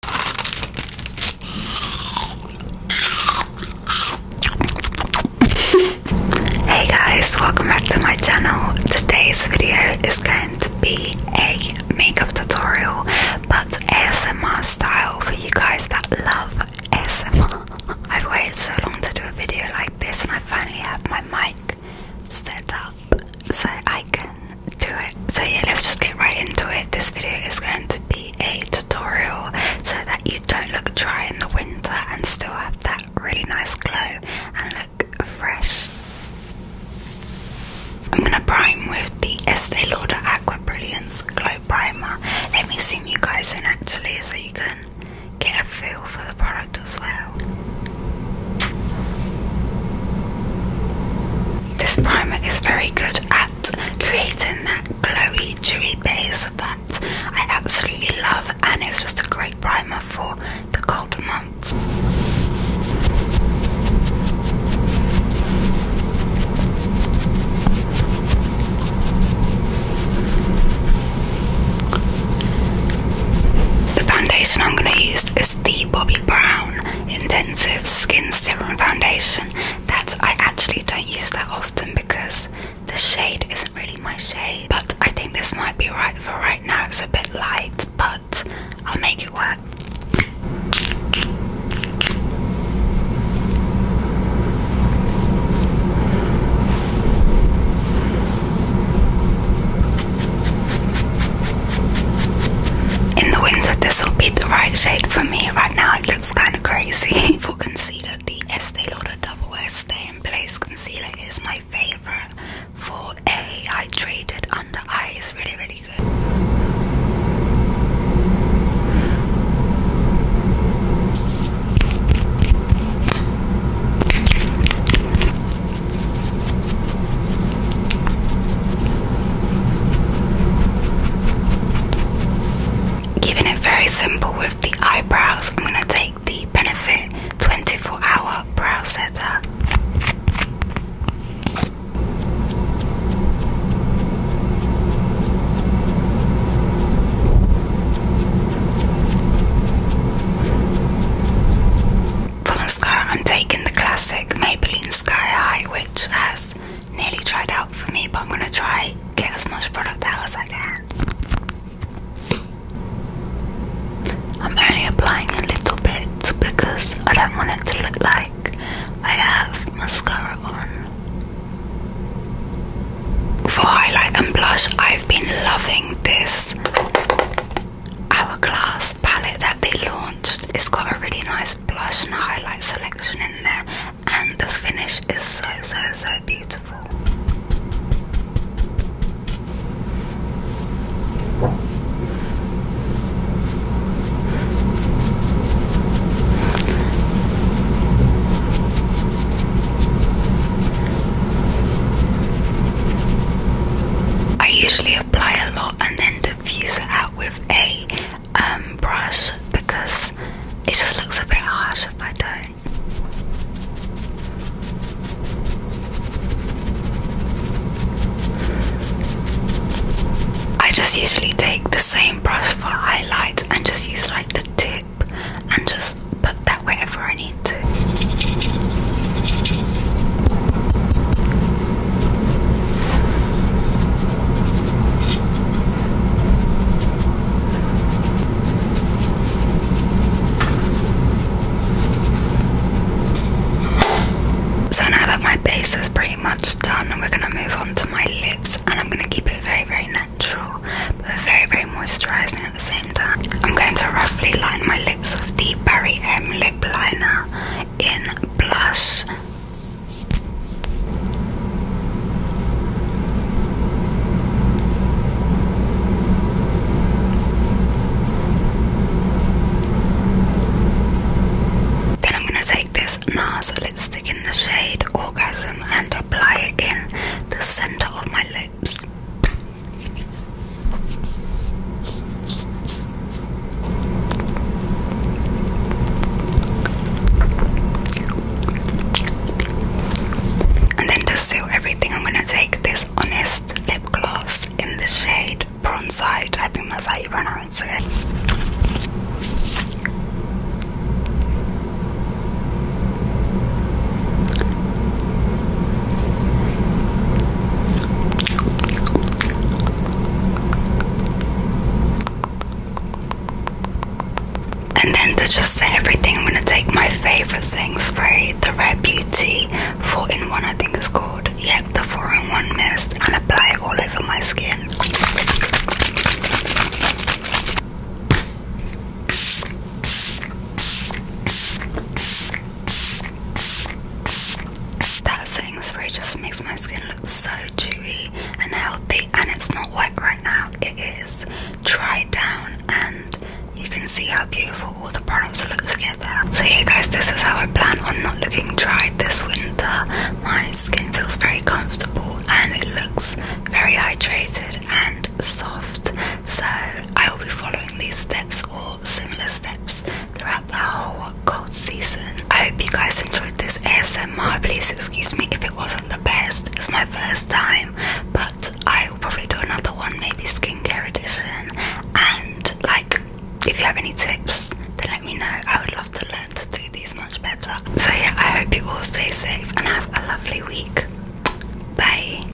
hey guys, welcome back to my channel. Today's video is going to be a makeup tutorial but ASMR style for you guys that love ASMR. I've waited so long to do a video like this and I finally have my mic set up so I can do it. So yeah, let's just get right into it. This video is going to be a tutorial so that you don't look dry in the winter and still have that really nice glow and look fresh. I'm gonna prime with the Estee Lauder Aqua Brilliance Glow Primer. Let me zoom you guys in actually so you can get a feel for the product as well. This primer is very good at creating that glowy, dewy base that I absolutely love, and it's just a great primer for the colder months. The foundation I'm going to use is the Bobbi Brown in intensive skin serum foundation that I actually don't use that often because the shade isn't really my shade. But I think this might be right for right now. It's a bit light, but I'll make it work. In the winter, this will be the right shade for me. Right now, it looks kind of crazy. for concealer, the Estee Lauder Double Wear Stay in Place Concealer is my favorite. For a hydrated under eye, it's really, really good. Keeping it very simple with the eyebrows, I'm going to take the Benefit 24 Hour Brow Setter. For mascara, I'm taking the classic Maybelline Sky High, which has nearly dried out for me, but I'm gonna try get as much product out as I can. I'm only applying a little bit because I don't want it to look like I have mascara on. For highlight and blush, I've been loving this Hourglass palette that they launched. It's got a really nice blush and highlight selection in there, and the finish is so so so beautiful. I usually apply a lot and then diffuse it out with a um, brush because it just looks a bit harsh if I don't. I just usually take the same brush for highlights and just use like the tip and just put that wherever I need so now that my base is pretty much done, we're gonna move on to my lips, and I'm gonna keep it very, very natural, but very, very moisturizing at the same time. I'm going to roughly line my lips with the Barry M lip liner in Blush. Then I'm going to take this NARS lipstick in the shade Orgasm and apply it in the center of my lip. And then to seal everything, I'm gonna take this Honest lip gloss in the shade Bronzite. I think that's how you pronounce it. And then to just say everything, I'm gonna take my favorite thing, spray, the Rare Beauty 4 in 1, I think it's called. Yep, the 4 in 1 mist, and apply it all over my skin. That setting spray just makes my skin look so dewy and healthy, and it's not wet right now, it is dried down, and you can see how beautiful all the products look together. So, yeah, guys, this is how I plan on not looking dry this winter. My skin feels very comfortable and it looks very hydrated and soft, so I will be following these steps all similar steps throughout the whole cold season. I hope you guys enjoyed this ASMR. Please excuse me if it wasn't the best, it's my first time, but I will probably do another one, maybe skincare edition. And like, if you have any tips, then let me know. I would love to learn to do these much better. So, yeah, I hope you all stay safe and have a lovely week. Bye.